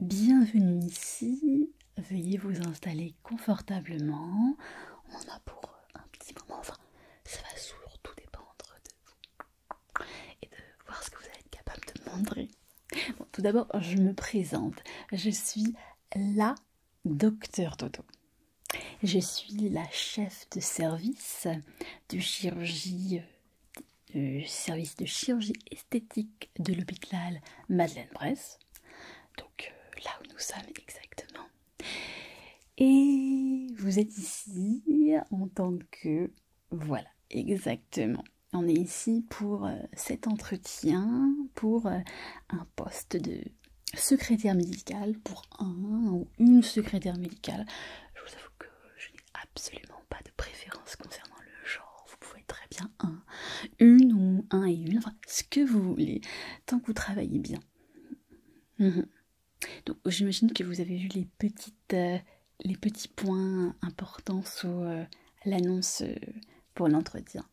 Bienvenue ici, veuillez vous installer confortablement. On a pour un petit moment, enfin, ça va surtout dépendre de vous et de voir ce que vous allez être capable de montrer. tout d'abord, je me présente. Je suis la docteur Toto. Je suis la chef de service de chirurgie du service de chirurgie esthétique de l'hôpital Madeleine-Bresse, donc euh, là où nous sommes exactement. Et vous êtes ici en tant que... Voilà, exactement. On est ici pour euh, cet entretien, pour euh, un poste de secrétaire médical, pour un ou une secrétaire médicale. Je vous avoue que je n'ai absolument pas de préférence concernant le genre. Vous pouvez très bien un, une ou un et une, enfin ce que vous voulez, tant que vous travaillez bien. Mhm. Donc j'imagine que vous avez vu les petites, euh, les petits points importants sous euh, l'annonce euh, pour l'entretien.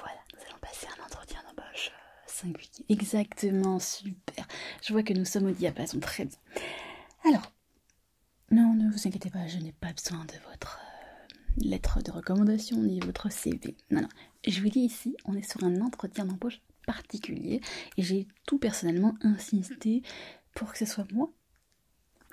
Voilà, nous allons passer un entretien d'embauche singulier. Exactement, super. Je vois que nous sommes au diapason, très bien. Alors, non, ne vous inquiétez pas, je n'ai pas besoin de votre euh, lettre de recommandation ni de votre CV. Non, non, je vous dis ici, on est sur un entretien d'embauche particulier et j'ai tout personnellement insisté pour que ce soit moi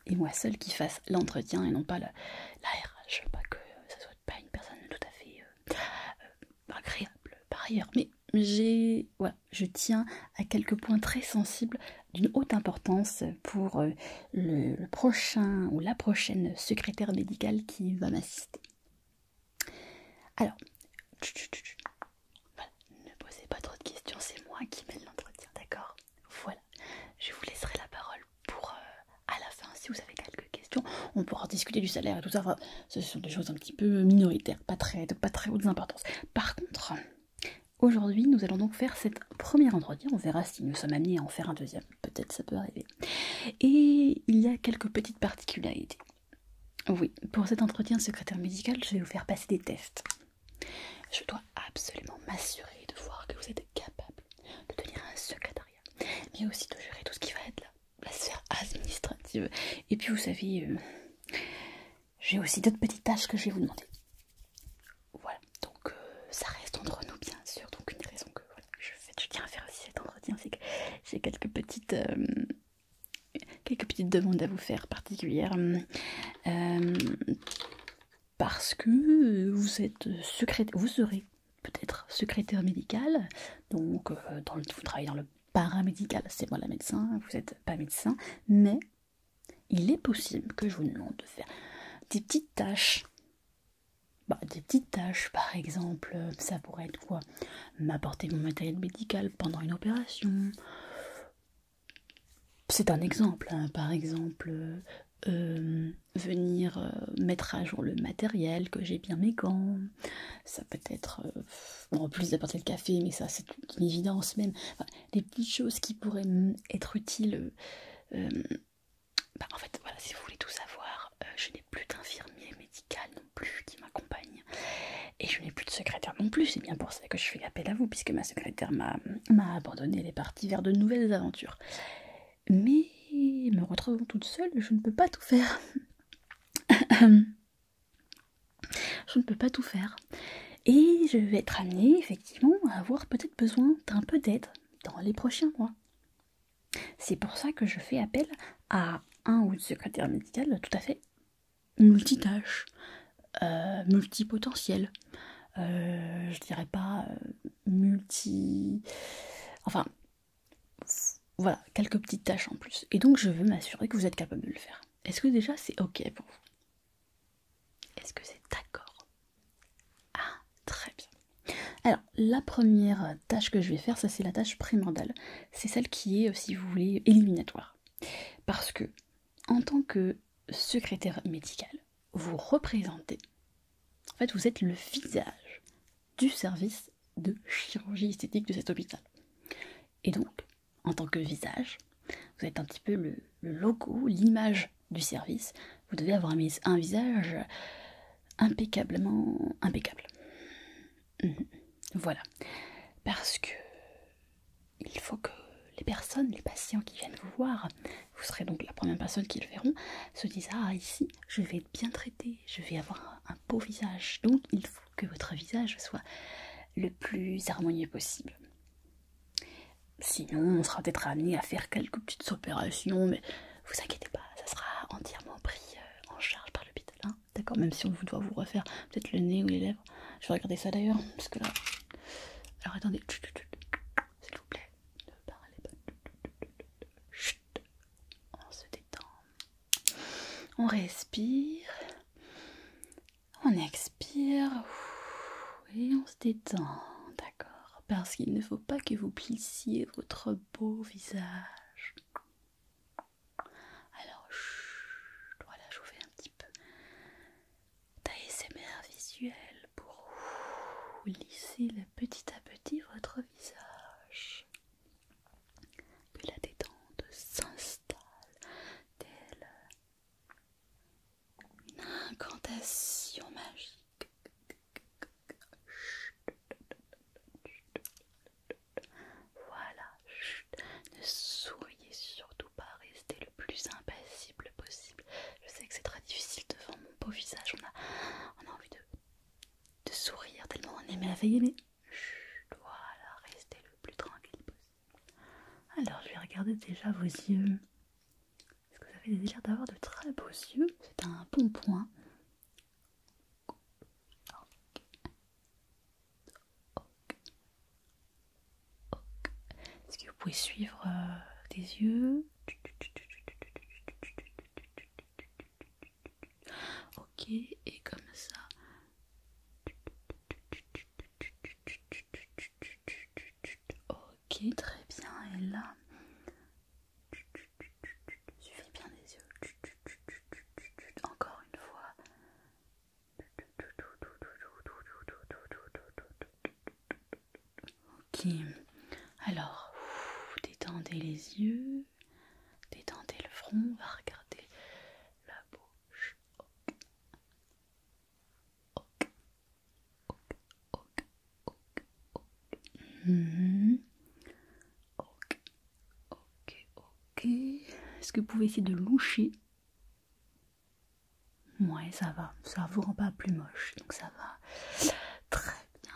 et moi seule qui fasse l'entretien et non pas la, ne veux pas que ce soit pas une personne tout à fait euh, euh, agréable par ailleurs. Mais j'ai, voilà, je tiens à quelques points très sensibles d'une haute importance pour euh, le, prochain ou la prochaine secrétaire médicale qui va m'assister. Alors, ne posez pas trop de questions, c'est moi qui mène l'entretien, d'accord Voilà, je vous laisserai la parole pour euh, à la fin si vous avez quelques questions. On pourra discuter du salaire et tout ça, ce sont des choses un petit peu minoritaires, pas très, de pas très haute importance. Par contre, Aujourd'hui, nous allons donc faire cette première entretien. On verra si nous sommes amenés à en faire un deuxième. Peut-être ça peut arriver. Et il y a quelques petites particularités. Oui, pour cet entretien de secrétaire médical, je vais vous faire passer des tests. Je dois absolument m'assurer de voir que vous êtes capable de tenir un secrétariat, mais aussi de gérer tout ce qui va être la sphère administrative. Et puis vous savez, euh, j'ai aussi d'autres petites tâches que je vais vous demander. Voilà, donc euh, ça reste entre nous bien sûr, donc une raison que je, fais, tiens à faire aussi cet entretien, c'est que j'ai quelques petites... Euh, quelques petites demandes à vous faire particulières euh, parce que vous êtes secrétaire, vous serez peut-être secrétaire médical, donc vous travaillez dans le paramédical, c'est moi la médecin, vous n'êtes pas médecin, mais il est possible que je vous demande de faire des petites tâches. Bah, des petites tâches, par exemple, euh, ça pourrait être quoi M'apporter mon matériel médical pendant une opération. C'est un exemple, hein. par exemple, euh, euh, venir mettre à jour le matériel, que j'ai bien mes gants. Ça peut être, en plus d'apporter le café, mais ça c'est une évidence même. des petites choses qui pourraient être utiles. Euh, bah, en fait, voilà, si vous voulez tout savoir, euh, je n'ai plus d'infirmier médical non plus qui m'accompagne. Et je n'ai plus de secrétaire non plus, c'est bien pour ça que je fais appel à vous, puisque ma secrétaire m'a abandonné, elle est partie vers de nouvelles aventures. Mais me retrouvant toute seule, je ne peux pas tout faire. je ne peux pas tout faire. Et je vais être amenée effectivement à avoir peut-être besoin d'un peu d'aide dans les prochains mois. C'est pour ça que je fais appel à un ou une secrétaire médicale tout à fait multitâche, euh, multipotentielle. Euh, je dirais pas euh, multi. Enfin, voilà, quelques petites tâches en plus. Et donc je veux m'assurer que vous êtes capable de le faire. Est-ce que déjà c'est ok pour vous est-ce que c'est d'accord Ah, très bien. Alors, la première tâche que je vais faire, ça c'est la tâche primordiale. C'est celle qui est, si vous voulez, éliminatoire. Parce que, en tant que secrétaire médicale, vous représentez, en fait, vous êtes le visage du service de chirurgie esthétique de cet hôpital. Et donc, en tant que visage, vous êtes un petit peu le logo, l'image du service, vous devez avoir mis un visage impeccablement impeccable. Mhm. Voilà. Parce que il faut que les personnes, les patients qui viennent vous voir, vous serez donc la première personne qui le verront, se disent Ah, ici, je vais être bien traité, je vais avoir un beau visage. Donc, il faut que votre visage soit le plus harmonieux possible. Sinon, on sera peut-être amené à faire quelques petites opérations, mais vous inquiétez pas, ça sera entièrement pris euh, en charge par l'hôpital. D'accord, même si on vous doit vous refaire peut-être le nez ou les lèvres. Je vais regarder ça d'ailleurs, parce que là. Alors attendez, s'il vous plaît, ne parlez pas. On se détend. On respire. On expire. Et on se détend. D'accord, parce qu'il ne faut pas que vous plissiez votre beau visage. Alors, voilà, je vous fais un petit peu d'ASMR visuel pour lisser petit à petit votre visage. Que la détente s'installe telle une incantation magique. Voilà, ne souriez surtout pas, restez le plus impassible possible. Je sais que c'est très difficile devant mon beau visage, on a, envie de, sourire tellement on la veille mais Chut. voilà, restez le plus tranquille possible. Alors je vais regarder déjà vos yeux. Est-ce que vous avez l'air d'avoir de très beaux yeux, c'est un bon point. Est-ce que vous pouvez suivre euh, des yeux Ok, et comme ça. Ok, très bien. Et là, suffit bien les yeux. Encore une fois. Ok, alors détendez les yeux, détendez le front, on va regarder la bouche. ok, ok, ok, ok, ok. Ok, ok, Est-ce que vous pouvez essayer de loucher Ouais, ça va. Ça vous rend pas plus moche, donc ça va. Très bien.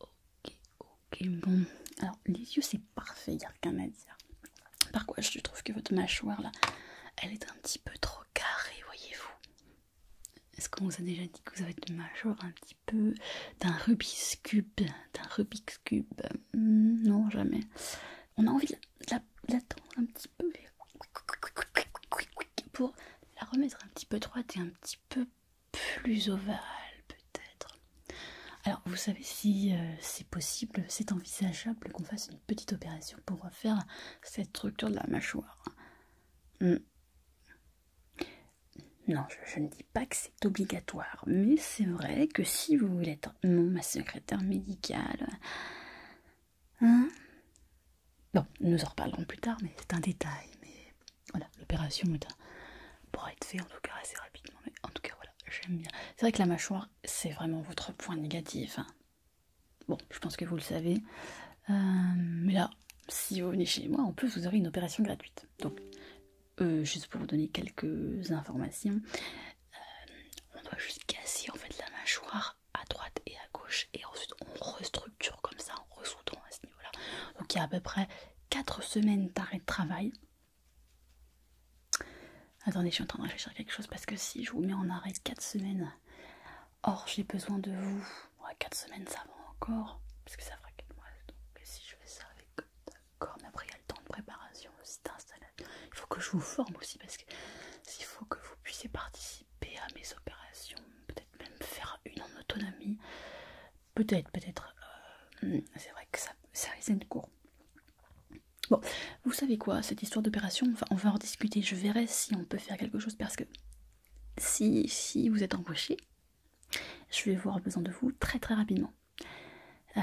Ok, ok. Bon, alors les yeux, c'est parfait, il n'y a rien à dire. Par contre, je trouve que votre mâchoire là, elle est un petit peu trop carrée, voyez-vous. Est-ce qu'on vous a déjà dit que vous avez de mâchoire un petit peu d'un Rubik's Cube D'un Rubik's Cube hmm, Non, jamais. On a envie de tendre un petit peu pour la remettre un petit peu droite et un petit peu plus ovale, peut-être. Alors, vous savez, si euh, c'est possible, c'est envisageable qu'on fasse une petite opération pour refaire cette structure de la mâchoire. Hmm. Non, je, ne dis pas que c'est obligatoire, mais c'est vrai que si vous voulez être non, ma secrétaire médicale. Hein Bon, nous en reparlerons plus tard, mais c'est un détail. Mais voilà, l'opération pourra être faite en tout cas assez rapidement. Mais en tout cas, voilà, j'aime bien. C'est vrai que la mâchoire, c'est vraiment votre point négatif. Hein. Bon, je pense que vous le savez. Euh, mais là, si vous venez chez moi, en plus, vous aurez une opération gratuite. Donc, euh, juste pour vous donner quelques informations, euh, on doit juste casser en fait la mâchoire à droite et à gauche, et ensuite on restructure comme ça, en ressoudant à ce niveau-là. Donc, il y a à peu près 4 semaines d'arrêt de travail. Attendez, je suis en train de réfléchir à quelque chose parce que si je vous mets en arrêt 4 semaines, Or, j'ai besoin de vous. 4 semaines, ça va encore. Parce que ça fera 4 mois. Donc, si je fais ça avec. D'accord, mais après, il y a le temps de préparation aussi d'installation. Il faut que je vous forme aussi. Parce que s'il faut que vous puissiez participer à mes opérations. Peut-être même faire une en autonomie. Peut-être, peut-être. Euh, c'est vrai que ça, ça risque court. Bon, vous savez quoi, cette histoire d'opération, on va en discuter. Je verrai si on peut faire quelque chose parce que si, si vous êtes embauché, je vais avoir besoin de vous très très rapidement. Euh,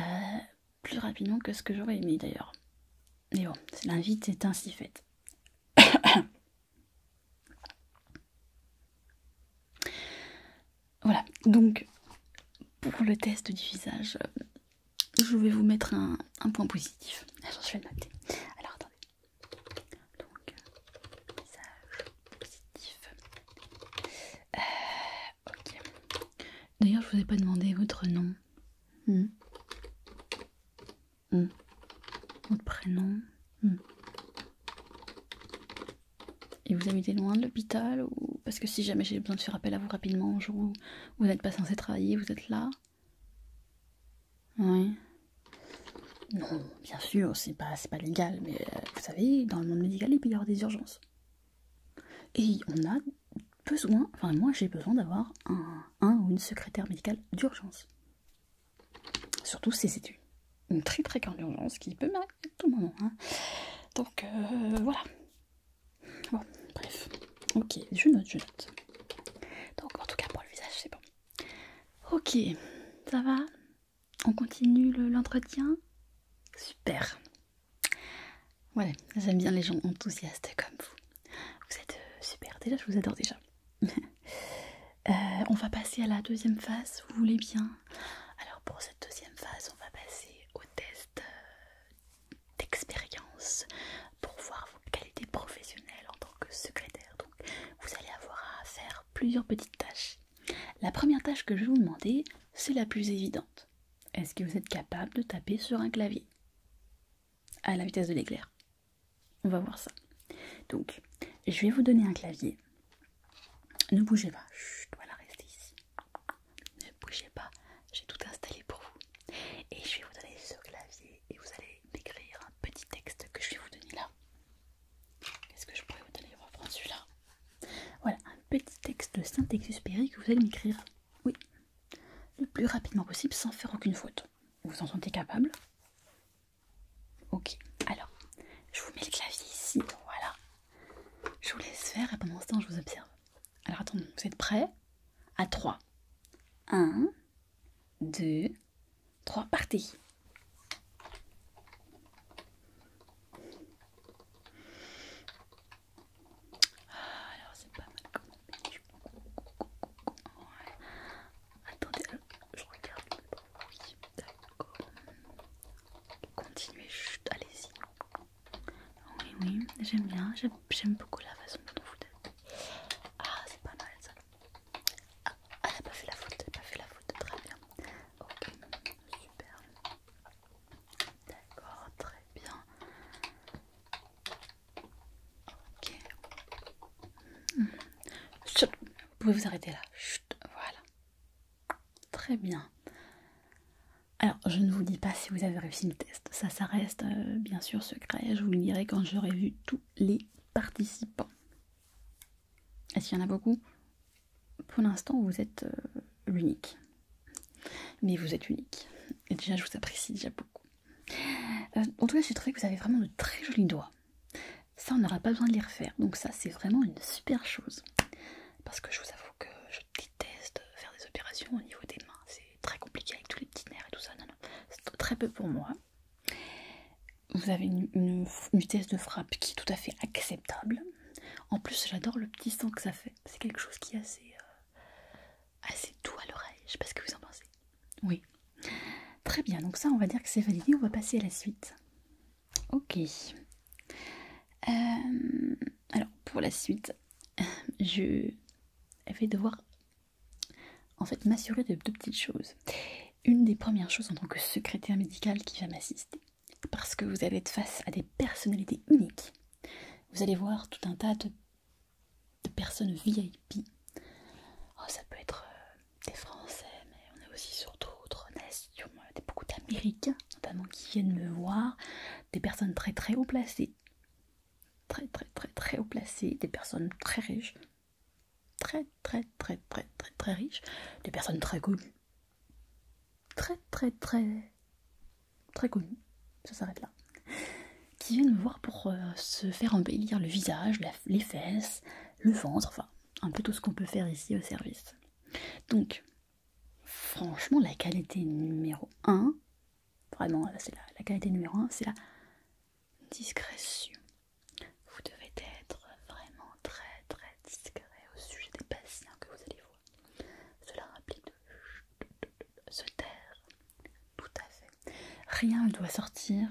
plus rapidement que ce que j'aurais aimé d'ailleurs. Mais bon, l'invite est ainsi faite. voilà, donc pour le test du visage, euh, je vais vous mettre un, point positif. J'en suis à Alors, attendez. Donc, message positif. Euh, D'ailleurs, je vous ai pas demandé votre nom. Hmm. Hmm. Votre prénom. Hmm. Et vous habitez loin de l'hôpital ou... Parce que si jamais j'ai besoin de faire appel à vous rapidement un jour où vous n'êtes pas censé travailler, vous êtes là oui. Non, bien sûr, c'est pas, c'est pas légal, mais euh, vous savez, dans le monde médical, il peut y avoir des urgences. Et on a besoin, enfin moi j'ai besoin d'avoir un, un, ou une secrétaire médicale d'urgence. Surtout si c'est une, très très grande urgence qui peut m'arriver à tout moment. Hein. Donc euh, voilà. bref. Ok, je note, je note. Donc en tout cas pour le visage c'est bon. Ok, ça va On continue l'entretien Super. Voilà, j'aime bien les gens enthousiastes comme vous. Vous êtes euh, super, déjà je vous adore déjà. Euh, on va passer à la deuxième phase, vous voulez bien Alors pour cette deuxième phase, on va passer au test euh, d'expérience pour voir vos qualités professionnelles en tant que secrétaire. Donc vous allez avoir à faire plusieurs petites tâches. La première tâche que je vais vous demander, c'est la plus évidente. Est-ce que vous êtes capable de taper sur un clavier à la vitesse de l'éclair On va voir ça. Donc, je vais vous donner un clavier. Ne bougez pas. je dois la rester ici. Ne bougez pas. J'ai tout installé pour vous. Et je vais vous donner ce clavier et vous allez m'écrire un petit texte que je vais vous donner là. Qu'est-ce que je pourrais vous donner Je celui-là. Voilà, un petit texte de Saint-Exupéry que vous allez m'écrire, oui, le plus rapidement possible sans faire aucune faute. Vous en sentez capable Ok, alors, je vous mets le clavier ici, voilà. Je vous laisse faire et pendant ce temps, je vous observe. Alors attendez, vous êtes prêts À 3. 1, 2, 3, parties. Ah, alors c'est pas mal comme ouais. Attendez, je regarde Oui, d'accord Continuez, allez-y Oui, oui, j'aime bien, j'aime beaucoup la façon dont vous êtes Ah c'est pas mal ça ah, elle n'a pas fait la faute, elle n'a pas fait la faute, très bien. Ok, super. D'accord, très bien. Ok. vous pouvez vous arrêter là. Chut, voilà. Très bien. Alors, je ne vous dis pas si vous avez réussi le test. Ça, ça reste euh, bien sûr secret. Je vous le dirai quand j'aurai vu tous les participants. Est-ce qu'il y en a beaucoup Pour l'instant, vous êtes euh, l'unique. Mais vous êtes unique. Et déjà, je vous apprécie déjà beaucoup. Euh, en tout cas, j'ai trouvé que vous avez vraiment de très jolis doigts. Ça, on n'aura pas besoin de les refaire. Donc ça, c'est vraiment une super chose. Parce que je vous avoue que je déteste faire des opérations au niveau des mains. C'est très compliqué avec tous les petits nerfs et tout ça. Non, non. C'est très peu pour moi vous avez une, vitesse de frappe qui est tout à fait acceptable. En plus, j'adore le petit son que ça fait. C'est quelque chose qui est assez, euh, assez doux à l'oreille. Je sais pas ce que vous en pensez. Oui. Très bien, donc ça, on va dire que c'est validé. On va passer à la suite. Ok. Euh, alors, pour la suite, je vais devoir en fait m'assurer de deux petites choses une des premières choses en tant que secrétaire médicale qui va m'assister. Parce que vous allez être face à des personnalités uniques. Vous allez voir tout un tas de, personnes VIP. Oh, ça peut être euh, des Français, mais on est aussi sur d'autres nations, euh, des beaucoup d'Américains notamment qui viennent me voir, des personnes très très haut placées. Très très très très haut placées, des personnes très riches, très très très très très très riche, des personnes très connues, très très très très connues, ça s'arrête là, qui viennent me voir pour euh, se faire embellir le visage, les fesses, le ventre, enfin un peu tout ce qu'on peut faire ici au service. Donc franchement la qualité numéro un, vraiment c'est la, la qualité numéro un, c'est la discrétion. Vous devez être vraiment très très discret au sujet des patients que vous allez voir. Cela implique de se taire. Tout à fait. Rien ne doit sortir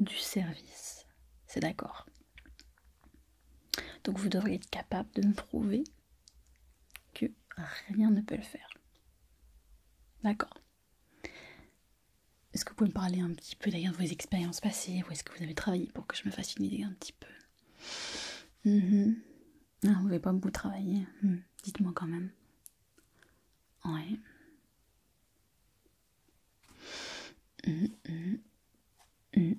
du service. C'est d'accord. Donc vous devriez être capable de me prouver que rien ne peut le faire. D'accord est-ce que vous pouvez me parler un petit peu d'ailleurs de vos expériences passées Où est-ce que vous avez travaillé pour que je me fasse une un petit peu Vous ne ah, Vous pas beaucoup travaillé. Dites-moi quand même. Ouais. Attendez.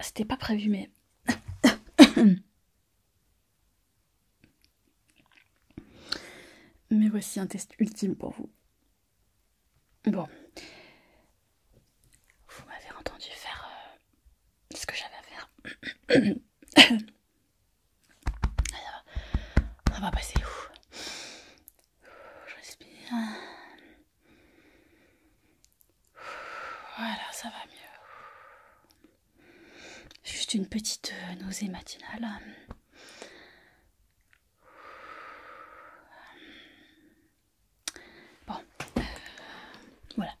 C'était pas prévu, mais. mais voici un test ultime pour vous. Bon. Vous m'avez entendu faire euh, ce que j'avais à faire. Alors, on va passer où Je respire. Voilà, ça va mieux. Juste une petite euh, nausée matinale. Euh, bon, euh, voilà.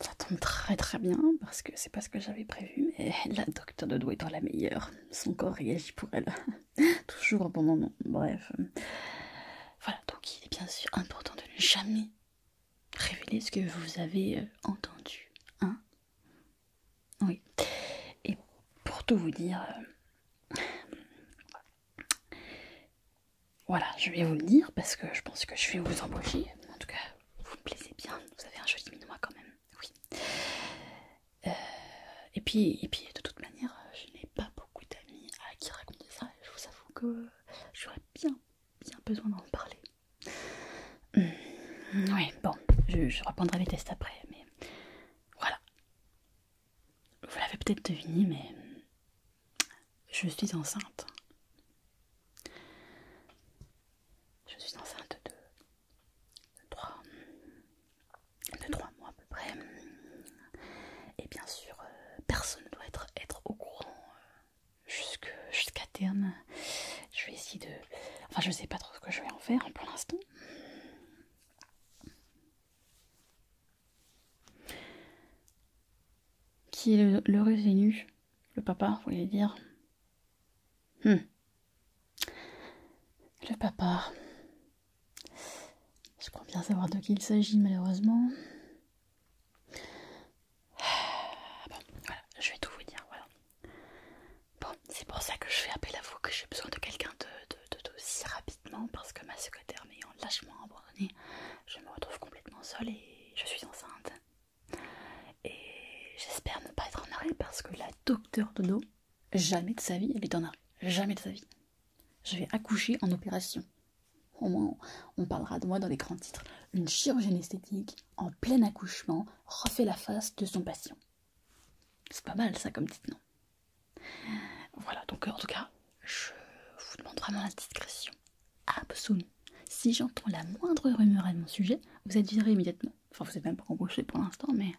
Ça tombe très très bien parce que c'est pas ce que j'avais prévu, mais la docteur de doigt étant la meilleure, son corps réagit pour elle. Toujours pendant bon moment. Bref. Voilà, donc il est bien sûr important de ne jamais révéler ce que vous avez euh, entendu. Hein Oui. Et pour tout vous dire... Euh, voilà, je vais vous le dire parce que je pense que je vais vous embaucher. En tout cas, vous me plaisez bien. Vous avez un joli minois quand même. Oui. Euh, et, puis, et puis, de toute manière, je n'ai pas beaucoup d'amis à qui raconter ça je vous avoue que j'aurais bien, bien besoin d'en parler. Hmm, oui, bon, je, reprendrai les tests après, mais voilà. Vous l'avez peut-être deviné, mais je suis enceinte. Je suis enceinte de, de 3 mois peu Et bien sûr, euh, personne ne doit être, au courant euh, jusqu'à terme. Je vais essayer de... Enfin, je sais pas trop ce que je vais en faire hein, pour l'instant. Qui est le, le revenu Le papa, vous voulez dire hmm. Le papa. Je crois bien savoir de qui il s'agit malheureusement. Ah, bon, voilà, je vais tout vous dire, voilà. Bon, c'est pour ça que je fais appel à vous, que j'ai besoin de quelqu'un de, dos si rapidement, parce que ma secrétaire m'ayant lâchement abandonnée, je me retrouve complètement seule et je suis enceinte. Et j'espère ne pas être en arrêt parce que la docteur Dodo, jamais de sa vie, elle est en arrêt. Jamais de sa vie. Je vais accoucher en opération. Au moins, on parlera de moi dans les grands titres. Une chirurgienne esthétique, en plein accouchement, refait la face de son patient. C'est pas mal ça comme dit non Voilà, donc euh, en tout cas, je vous demande vraiment la discrétion. Absolue. Si j'entends la moindre rumeur à mon sujet, vous êtes viré immédiatement. Enfin, vous n'êtes même pas embauché pour l'instant, mais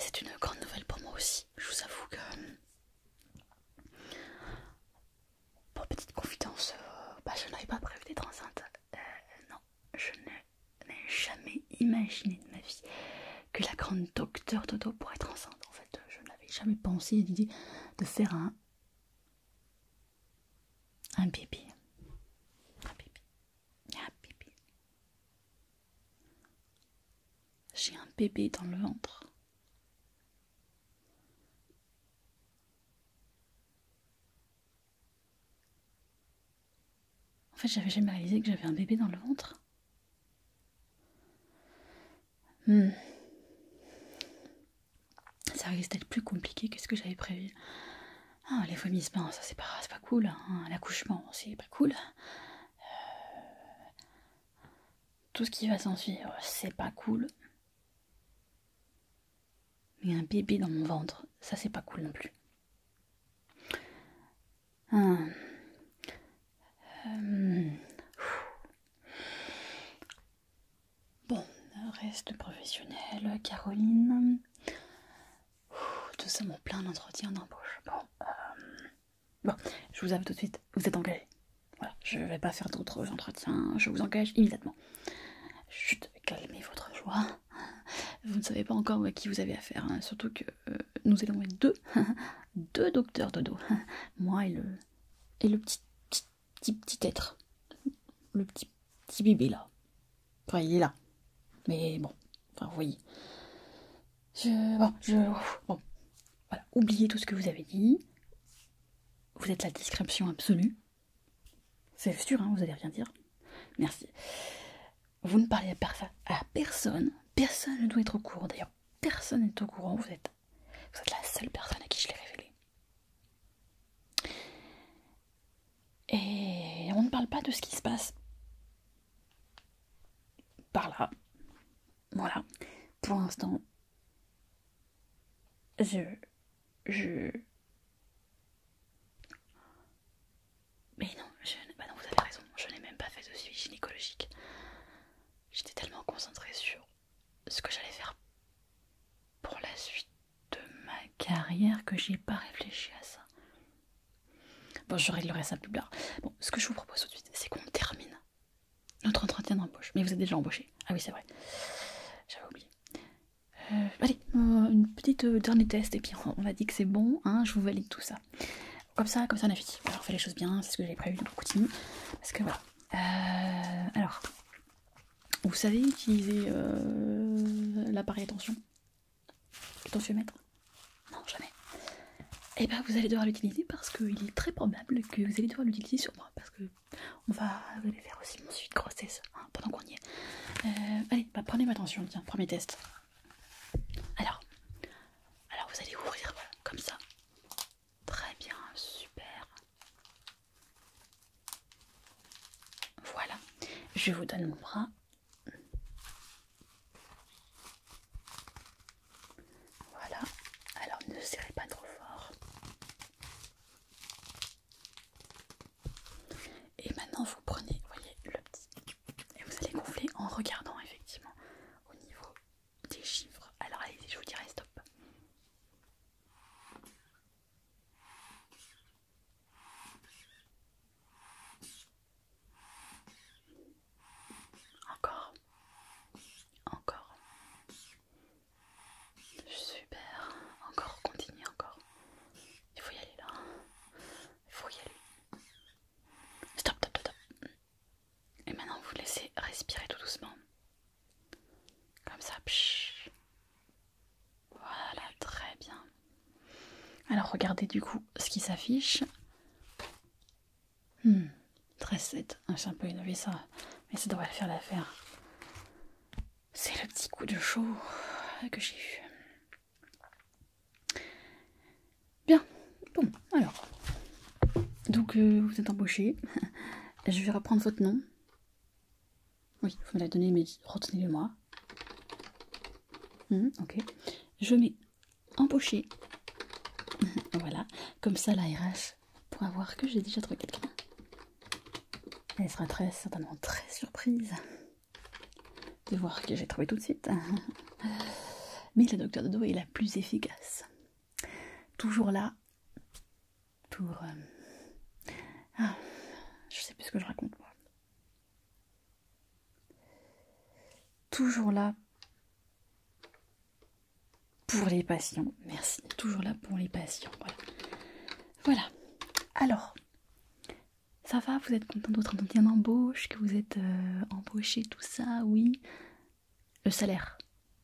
c'est une grande nouvelle pour moi aussi je vous avoue que euh, pour petite confidence, euh, bah, je n'avais pas prévu d'être enceinte. Euh, non, je n'ai jamais imaginé de ma vie que la grande docteur Toto pourrait être enceinte. En fait, je n'avais jamais pensé l'idée de faire un un bébé. Un bébé. Un bébé. J'ai un bébé dans le ventre. En fait, j'avais jamais réalisé que j'avais un bébé dans le ventre. Hmm. Ça risque d'être plus compliqué que ce que j'avais prévu. Ah, les vomissements, ça c'est pas, pas cool. l'accouchement L'accouchement, c'est pas cool. Euh, tout ce qui va s'en c'est pas cool. Mais un bébé dans mon ventre, ça c'est pas cool non plus. Hein. Euh, bon, reste professionnel, Caroline. Tout ça, mon plein d'entretien d'embauche. Bon, euh, Bon, je vous avoue tout de suite, vous êtes engagé. Voilà, je ne vais pas faire d'autres entretiens, je vous engage immédiatement. Chut, calmer votre joie. Vous ne savez pas encore à qui vous avez affaire, hein. surtout que euh, nous allons être deux, deux docteurs dodo, moi et le et le petit petit petit, être, le petit petit bébé là. Enfin, il est là, mais bon, enfin, vous voyez. Je. Bon, je. Bon. Voilà, oubliez tout ce que vous avez dit. Vous êtes la description absolue. C'est sûr, hein, vous n'allez rien dire. Merci. Vous ne parlez à personne. Personne ne doit être au courant. D'ailleurs, personne n'est au courant. Vous êtes, vous êtes la seule personne à qui je l'ai révélé. Et on ne parle pas de ce qui se passe par là. Voilà. Pour l'instant, je. Je. Mais non, bah non, vous avez raison, je n'ai même pas fait de suivi gynécologique. J'étais tellement concentrée sur ce que j'allais faire pour la suite de ma carrière que j'ai pas réfléchi à ça. Bon, je réglerai ça plus tard. Bon, ce que je vous propose tout de suite, c'est qu'on termine notre entretien d'embauche. Mais vous êtes déjà embauché. Ah oui, c'est vrai. J'avais oublié. Euh, allez, euh, une petite euh, dernier test et puis on, va dire dit que c'est bon, hein, je vous valide tout ça. Comme ça, comme ça on a fini. Alors on fait les choses bien, c'est ce que j'avais prévu, donc de continue. Parce que voilà. alors, vous savez utiliser l'appareil attention Tensiomètre Non, jamais et eh bien vous allez devoir l'utiliser parce qu'il est très probable que vous allez devoir l'utiliser sur moi. Parce que on va, vous faire aussi mon suite grossesse hein, pendant qu'on y est. Euh, allez, bah, prenez ma attention, tiens, premier test. Alors, alors vous allez ouvrir, comme ça. Très bien, super. Voilà, je vous donne mon bras. Voilà, alors ne serrez pas trop fort. Et maintenant vous prenez, voyez, le petit. Et vous allez gonfler en regardant effectivement au niveau des chiffres. Alors allez je vous dirai stop. Encore. Encore. Super. Encore, continue encore. Il faut y aller là. Il faut y aller. Stop, stop, stop. Et maintenant, vous laissez respirer tout doucement. Comme ça. Voilà, très bien. Alors regardez du coup ce qui s'affiche. Hmm, 13-7. c'est un peu innové ça, mais ça devrait faire l'affaire. C'est le petit coup de chaud que j'ai eu. Bien, bon, alors. Donc, euh, vous êtes embauché. Je vais reprendre votre nom. Oui, vous me l'avez donné, mais retenez-le moi. Hmm, ok. Je mets embauché. voilà. Comme ça, la pour avoir que j'ai déjà trouvé quelqu'un. Elle sera très certainement très surprise de voir que j'ai trouvé tout de suite. Mais la docteur Dodo est la plus efficace. Toujours là pour... Euh, ah, je sais plus ce que je raconte Toujours là pour les patients. Merci, toujours là pour les patients. Voilà. voilà. Alors, ça va Vous êtes content de votre entretien d'embauche Que vous êtes euh, embauché, tout ça Oui. Le salaire.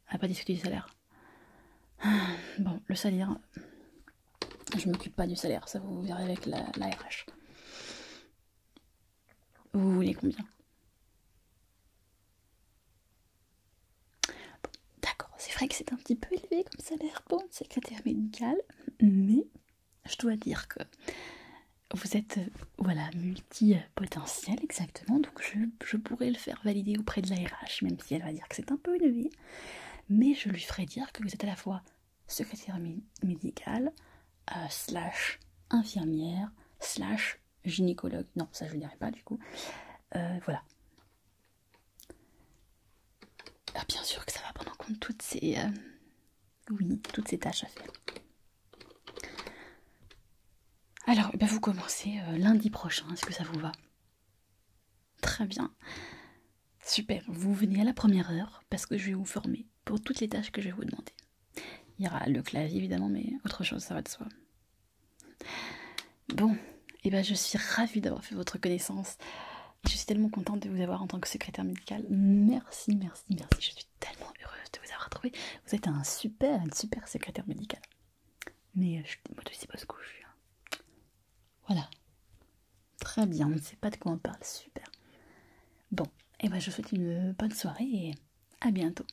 On n'a pas discuté du salaire. Ah, bon, le salaire. Je ne m'occupe pas du salaire, ça vous verrez avec la RH. Vous voulez combien D'accord, c'est vrai que c'est un petit peu élevé comme salaire pour une secrétaire médical, mais je dois dire que vous êtes euh, voilà, multipotentiel exactement, donc je, pourrais le faire valider auprès de la RH, même si elle va dire que c'est un peu élevé, mais je lui ferai dire que vous êtes à la fois secrétaire médicale, euh, slash infirmière, slash gynécologue. Non, ça je ne dirai pas du coup. Euh, voilà. Ah, bien sûr que ça va prendre en compte toutes ces, euh, oui, toutes ces tâches à faire. Alors, eh vous commencez euh, lundi prochain, est-ce que ça vous va Très bien. Super, vous venez à la première heure parce que je vais vous former pour toutes les tâches que je vais vous demander. Il y aura le clavier évidemment, mais autre chose, ça va de soi. Bon, eh ben je suis ravie d'avoir fait votre connaissance. Je suis tellement contente de vous avoir en tant que secrétaire médicale. Merci, merci, merci. Je suis tellement heureuse de vous avoir trouvé. Vous êtes un super, un super secrétaire médical Mais euh, je moi aussi sais pas ce que je suis. Voilà. Très bien, on ne sait pas de quoi on parle. Super. Bon, eh ben je vous souhaite une bonne soirée et à bientôt.